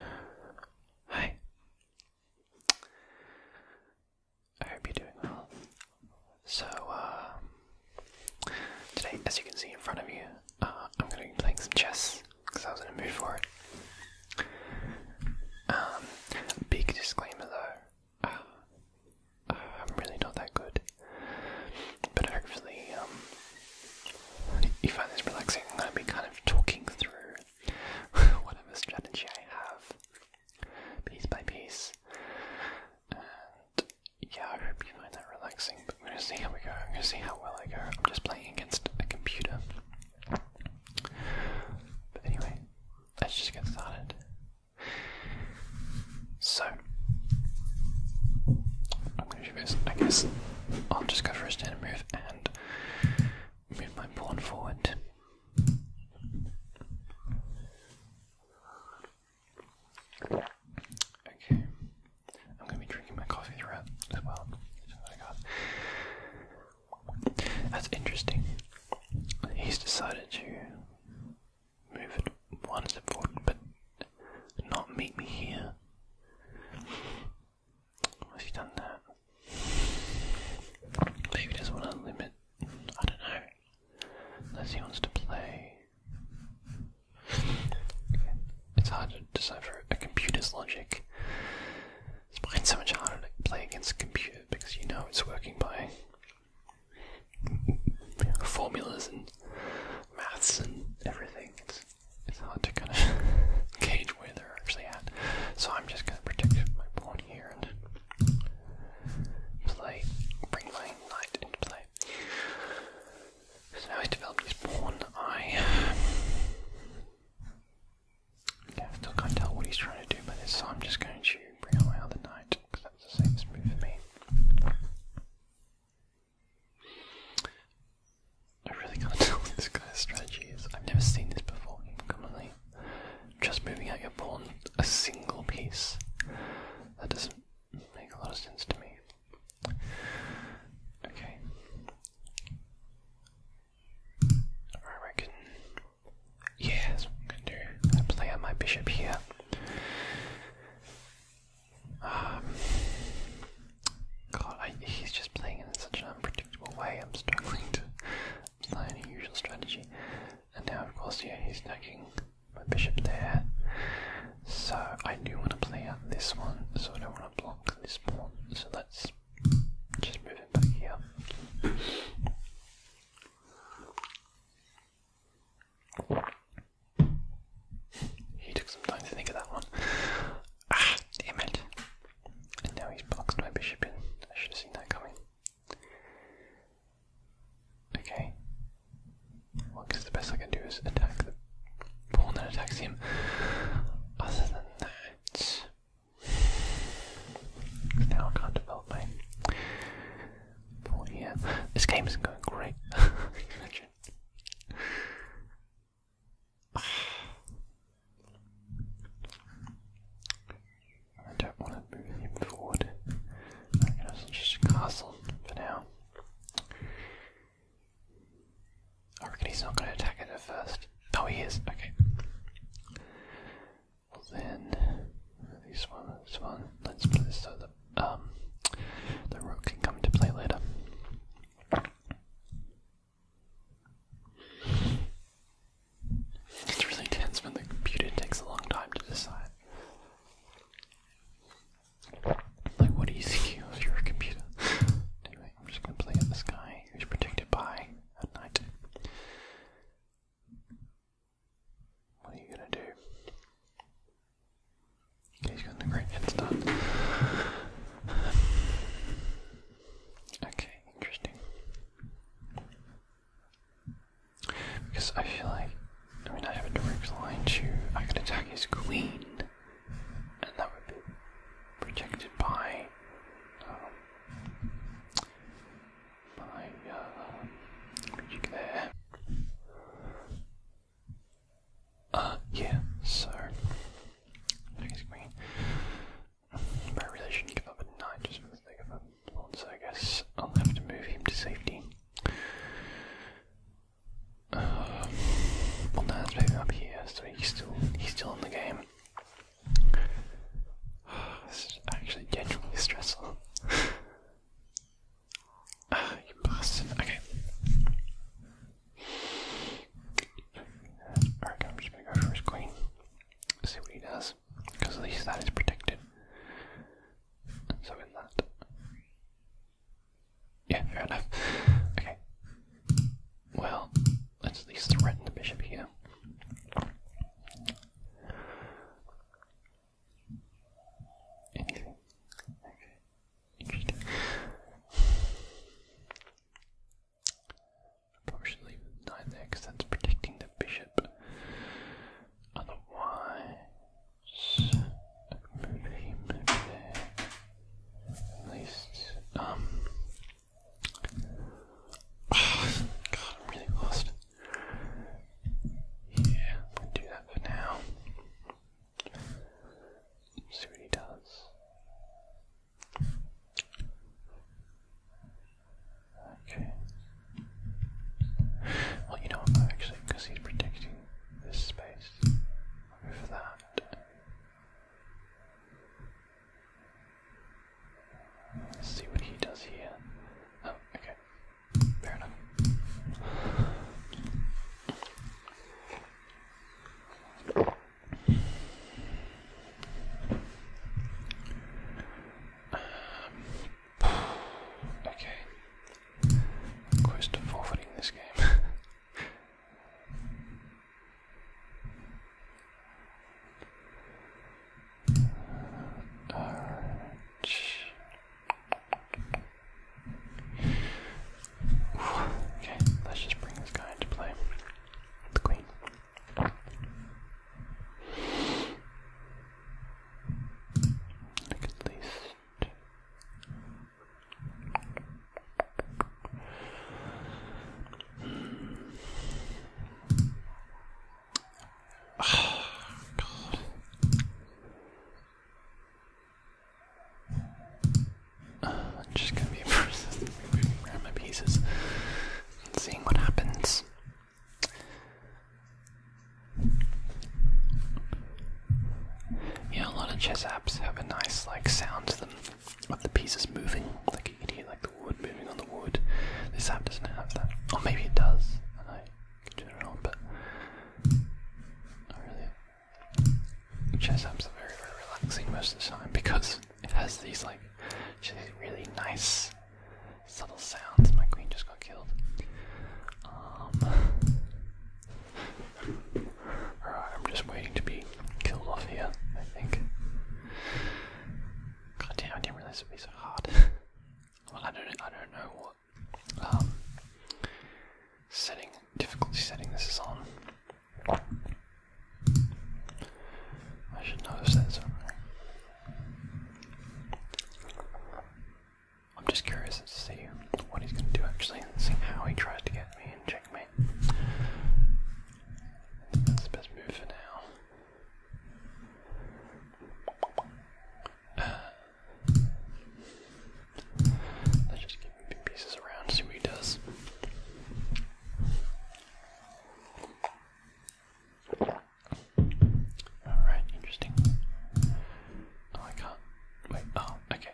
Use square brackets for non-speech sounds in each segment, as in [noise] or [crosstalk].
Hi. I hope you're doing well. So, uh, today, as you can see in front of you, uh, I'm going to be playing some chess because I was in a mood for it. Um, big disclaimer though, uh, I'm really not that good, but hopefully, um, you find this relaxing. I'm going to be kind of talking through whatever strategy I have, piece by piece. And yeah, I hope you find that relaxing, but we're gonna see how we go, I'm gonna see how well I go. I'm just playing against a computer. But anyway, let's just get started. So, I'm gonna do this, I guess. I'll just go for a standard move and move my pawn forward. Okay, I'm gonna be drinking my coffee throughout as well. That's interesting. He's decided to move it one step but not meet me here. Has he done that? Maybe he doesn't to limit. I don't know. Unless he wants to play. It's hard to decipher a computer's logic. It's behind so much harder to play against a computer because you know it's working by formulas and maths and everything it's hard to kind of [laughs] gauge where they're actually at. So I'm just going to protect my pawn here and play, bring my knight into play. So now he's developed his pawn. I still can't tell what he's trying to do by this, so I'm just going to bring out my other knight because that's the safest move for me. I really can't [laughs] tell what this guy's strategy is. I've never seen this before. Commonly, just moving out your pawn a single piece. That doesn't make a lot of sense to me. Okay. I reckon. Yeah, I'm gonna do. I play out my bishop here. Um, God, he's just playing in such an unpredictable way. I'm struggling to apply a usual strategy. And now, of course, yeah, he's taking my bishop there. So I do want to play out this one, so I don't want to block this pawn. So let's just move it back here. He took some time to think of that one. Ah, damn it. And now he's boxed my bishop in. I should have seen that coming. Okay. I guess the best I can do is attack the pawn that attacks him. Other than that. Now I can't develop my pawn here. This game isn't going great. [laughs] [sighs] I don't want to move him forward. just castle for now. I reckon he's not going to attack it at first. Oh, he is. Okay. Well then, this one, this one. Let's put this so that um, the rook can come into play later. It's really tense when the computer takes a long time to decide. Like, what do you think of your computer? I'm just gonna play at this guy who's protected by at night. What are you gonna do? Okay, he's got a great head start. Okay, interesting. Because I feel like, I mean, I have a direct line to. I can attack his queen, and that would be protected by. Um, uh, magic there. Uh, yeah, so. He's green. I really shouldn't give up at 9 just for of it. So I guess I'll have to move him to safety. Uh, well, no, let's up here so he's still, he's still in the game. [sighs] this is actually genuinely stressful. Ah, [sighs] you bastard. Okay. Alright, I'm just gonna go for his queen. See what he does. Because at least that is protected. So in that. Yeah, fair enough. Okay. Well, let's at least threaten the bishop here. Anything? Okay. Probably should leave knight there because that's protecting the bishop. Otherwise, I move him there. At least, um. [sighs] God, I'm really lost. Yeah, i do that now. See what he does. Okay. Well, you know actually, because he's protecting this space, for that. Let's see what he does here. Oh, okay. Fair enough okay. I'm close to this game. Alright. [laughs] Okay, let's just bring this guy into play. The queen. Like at least. [sighs] God. I'm just gonna be moving [laughs] around my pieces and seeing what happens. Yeah, a lot of chess apps have a nice like sound to them of the pieces moving. Like you can hear like the wood moving on the wood. This app doesn't have that. Or maybe it does. I turn it on, but I really Chess apps are very, very relaxing most of the time because it has these like really nice subtle sounds. My queen just got killed. Um, [laughs] I'm just waiting to be killed off here, I think. God damn, I didn't realize it would be so hard. [laughs] well, I don't, I don't know what um, Sitting difficulty setting this is on. I should notice that I'm just curious to see what he's going to do actually, and see how he tries to get me in checkmate. That's the best move for now. Uh, Let's just keep moving pieces around, see what he does. Alright, interesting. Oh, I can Wait, oh, okay.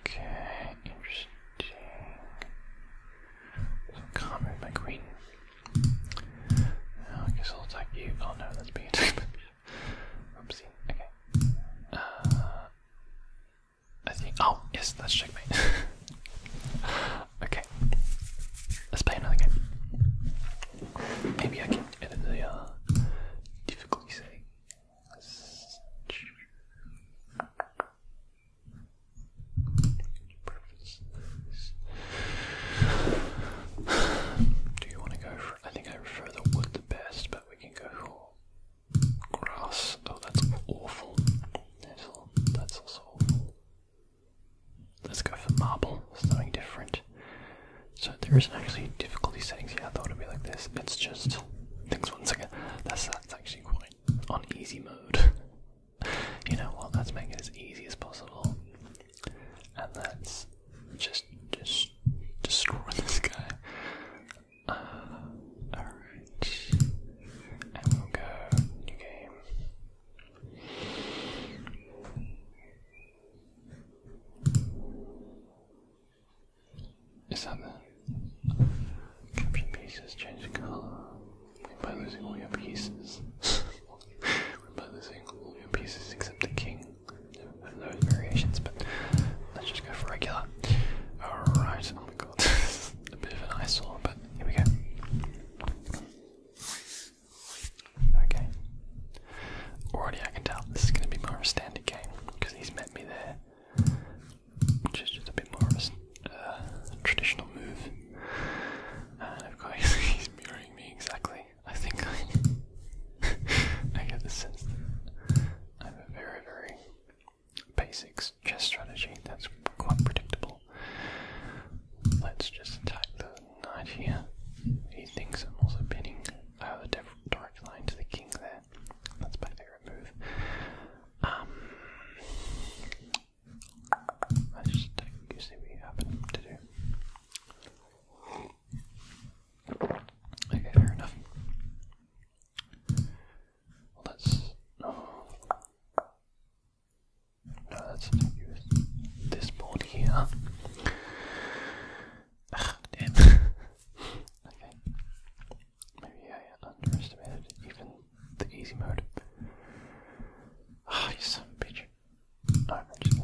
Okay, interesting. Can't move my queen. I guess I'll attack you. Oh no, that's being [laughs] Oopsie. Okay. Uh, I think. Oh yes, that's checkmate. [laughs] okay. Let's play another game. Maybe I can edit the uh, difficulty setting. Do you want to go for? I think I prefer the wood the best, but we can go for grass. Oh, that's awful. that's awful. Let's go for marble. Something different. So there isn't actually difficulty settings here. I thought it'd be like this. It's just things once again. That's that's actually quite on easy mode. [laughs] you know what? Let's make it as easy as possible, and let's just just destroy this guy. Uh, all right, and we'll go new game. Is that the capture pieces change colour? By losing all your pieces. [laughs] by losing all your pieces except the king. There those variations, but let's just go for regular. Alright, oh my god, [laughs] a bit of an eyesore, but here we go. Okay. Already I can tell this is going to be more of a standard game, because he's met me there. Which is just a bit more of a uh, traditional move. And of course, [laughs] he's mirroring me exactly. I think I, [laughs] get the sense that I have a very, very basic chess strategy that's quite predictable. Let's just attack the knight here. He thinks I'm also pinning uh, the direct line to the king there. That's my favorite move. Um, just take you see what you happen to Okay, fair enough. Well, that's no, oh. no, that's to do this board here. damn. [laughs] Maybe I underestimated even the easy mode. Ah, oh, bitch. I'm just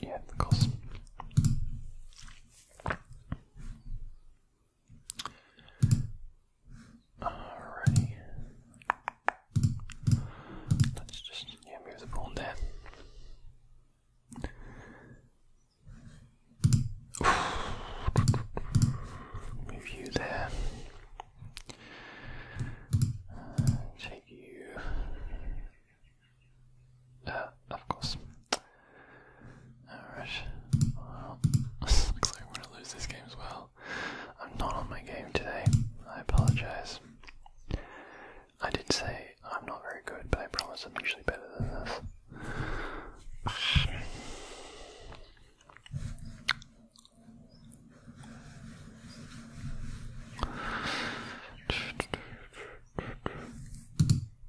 Yeah, of course. Alrighty. Let's just yeah, move the pawn there. Move you there. take you. Uh, of course. Alright. [laughs] looks like I'm going to lose this game as well. I'm not on my game today. I apologize. I did say I'm not very good, but I promise I'm usually better than this.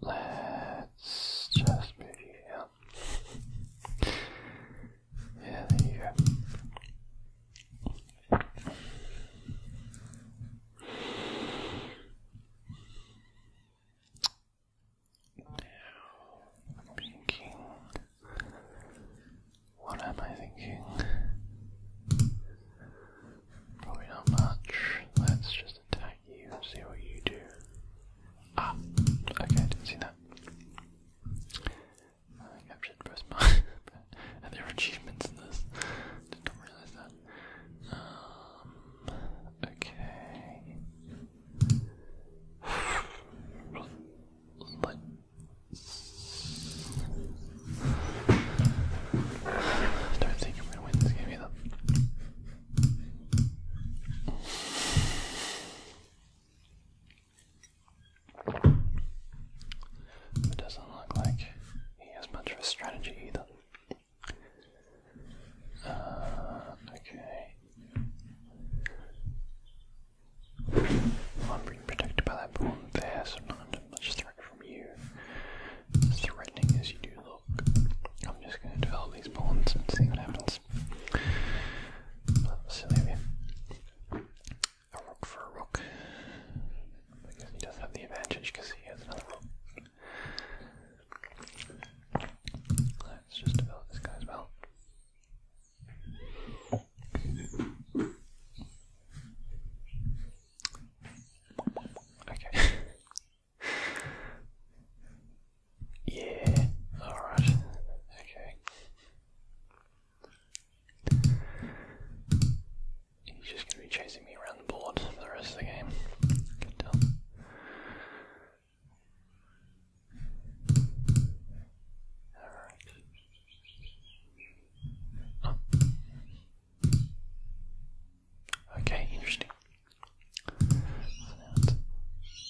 Let's just move here. Yeah, there you go. I'm thinking. What am I thinking? Probably not much. Let's just attack you and see what you do. Ah! Okay, didn't see that. I captured both my. [laughs] and there are achievements in this. Did not realize that. Um, okay. Don't think i gonna win It doesn't look like he has much of a strategy either. Uh, okay. I'm protected by that bone there, so not much threat from you. As threatening as you do look. I'm just going to develop these bonds and see what happens. silly of A rook for a rook. I he does have the advantage because he has another rook. Let's just develop this guy as well. Okay. [laughs] yeah, alright. Okay. He's just going to be chasing me around the board for the rest of the game. Alright. Okay, interesting.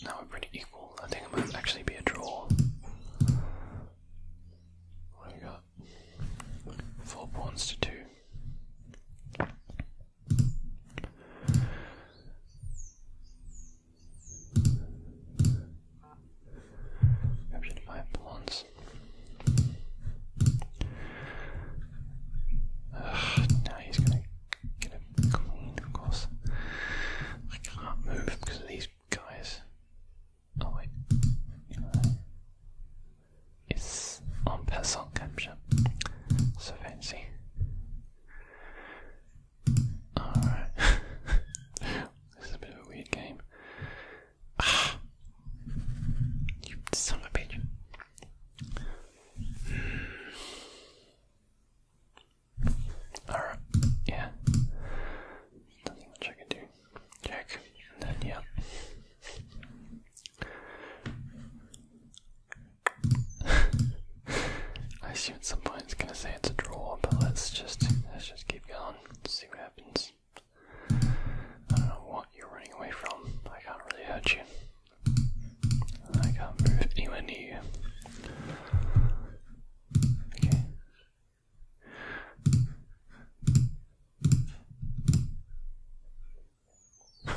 now, we're pretty equal. I think it might actually be a draw. we got? Four pawns to two. Captured five pawns. now he's gonna get it clean, of course. I can't move because of these guys. Oh wait. It's en passant comme j'aime. So fancy. Alright. [laughs] this is a bit of a weird game. Ah. You son of a hmm. Alright, yeah. Nothing much I can do. Check. yeah. [laughs] I assume at some point it's gonna say it's a draw, but let's just let's just keep going, see what happens. I don't know what you're running away from, I can't really hurt you. I can't move anywhere near you. Okay. [laughs]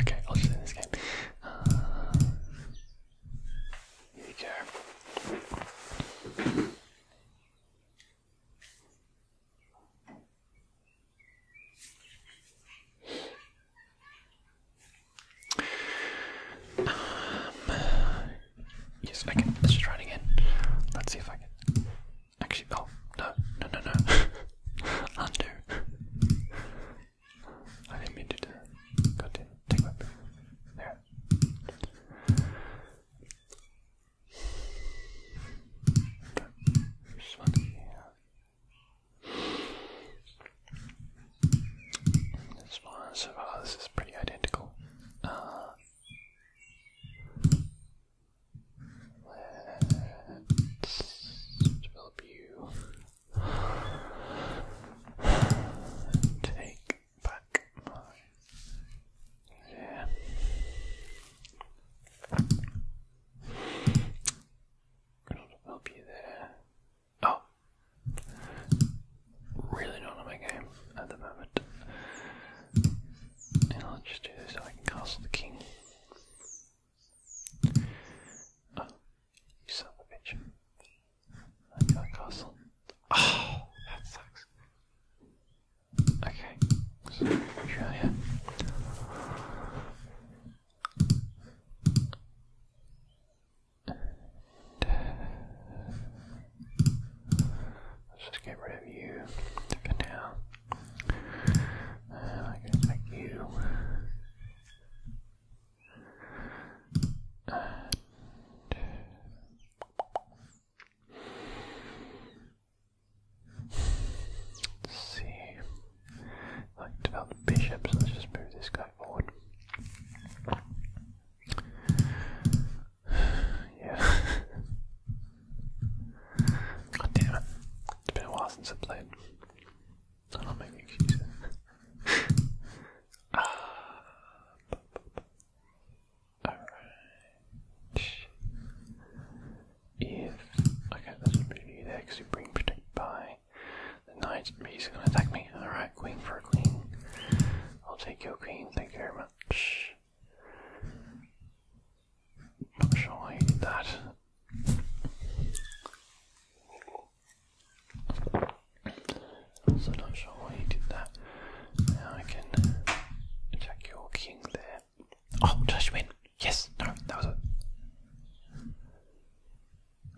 okay, I'll just end this game. Uh, here you go. Um, yes, okay, let's just try again. Let's see if I can. Actually, oh, no, no, no, no. [laughs] Undo. I didn't mean to do that. God damn it. Take my breath. There. Just one here. This one, so far, this is pretty identical. Uh, Let's develop you. Take back my yeah. going you there. Oh, really not on my game at the moment. I'll just do this I can castle the king you son of a bitch. I castle. Oh, that sucks. Okay, uh, let's just get rid of you now. I can make you. let's see. Like develop bishops, let's just move this guy forward. [sighs] yeah. [laughs] God damn it. It's been a while since I played. I'm not making excuses. uh, ah. Alright. If. Okay, that's a bit of there because you bring protected by the knights. He's gonna attack me. Alright, queen for a queen. I'll take your queen, thank you very much. Not sure I need that. So not sure why you did that. Now I can attack your king there. Oh, did I Yes, no, that was it.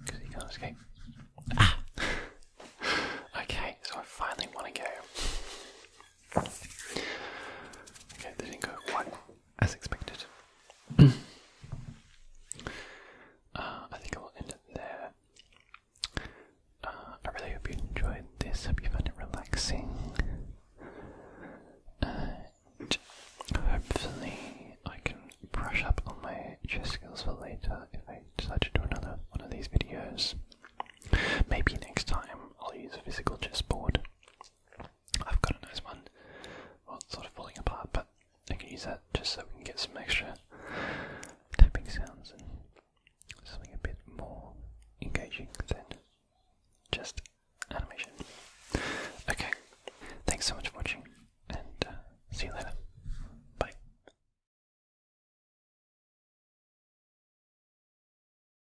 Because he can't escape. Ah! [laughs] okay, so I finally want to go. Okay, they didn't go quite as expected. [clears throat] Uh, I think I will end it there. Uh, I really hope you enjoyed this. Hope you found it relaxing. hopefully, I can brush up on my chess skills for later if I decide to do another one of these videos. Maybe next time I'll use a physical chessboard I've got a nice one. Well, it's sort of falling apart, but I can use that just so we can get some extra tapping sounds and something a bit more engaging than just animation. Okay, thanks so much for watching, and uh, see you later. Bye.